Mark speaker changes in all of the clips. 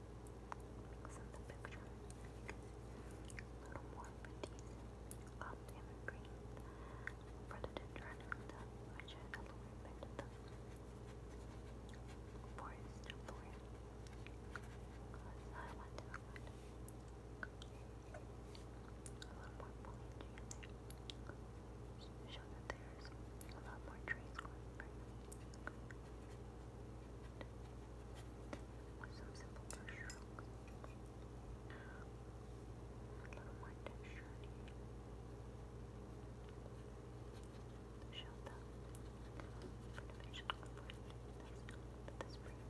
Speaker 1: So the picture a little more petite, um, and green for the dendron which is a little bit of forest forest. I want to add a lot more foliage in Show that there's a lot more trees going with some simple brush A little more texture in here. Show them. Pretty this, brush. And I'm small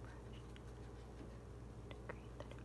Speaker 1: brush to create that effect.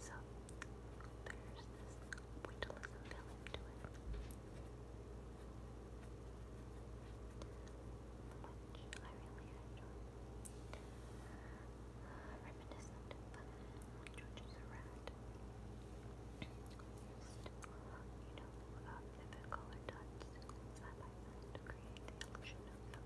Speaker 1: So, there's Which I really enjoy. reminiscent, but George's a you know, uh, vivid color dots side by side to create the illusion of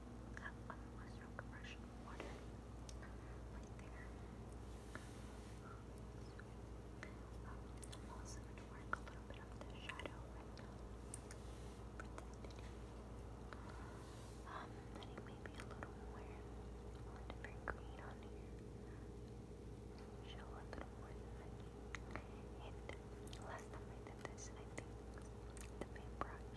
Speaker 1: That one
Speaker 2: also going to work a little bit on the shadow right now. For maybe a little more, a different green on here. Show a little more And last time I did this, I think the paintbrush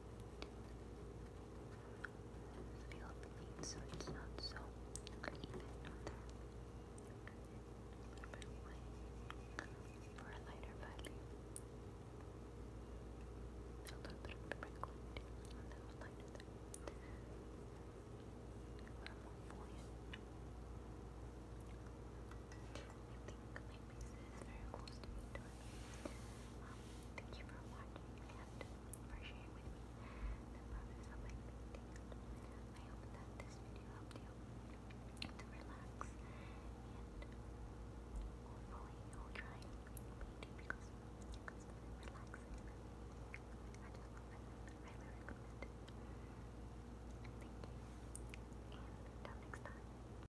Speaker 3: feel clean so it's not so even there. a little bit of wrinkle on that one lighter there. For more foliage think my face is very close to being done. thank you for watching and for sharing with me I hope that this video helped you to relax and hopefully you'll because it's I just I recommend Thank you. And until next time.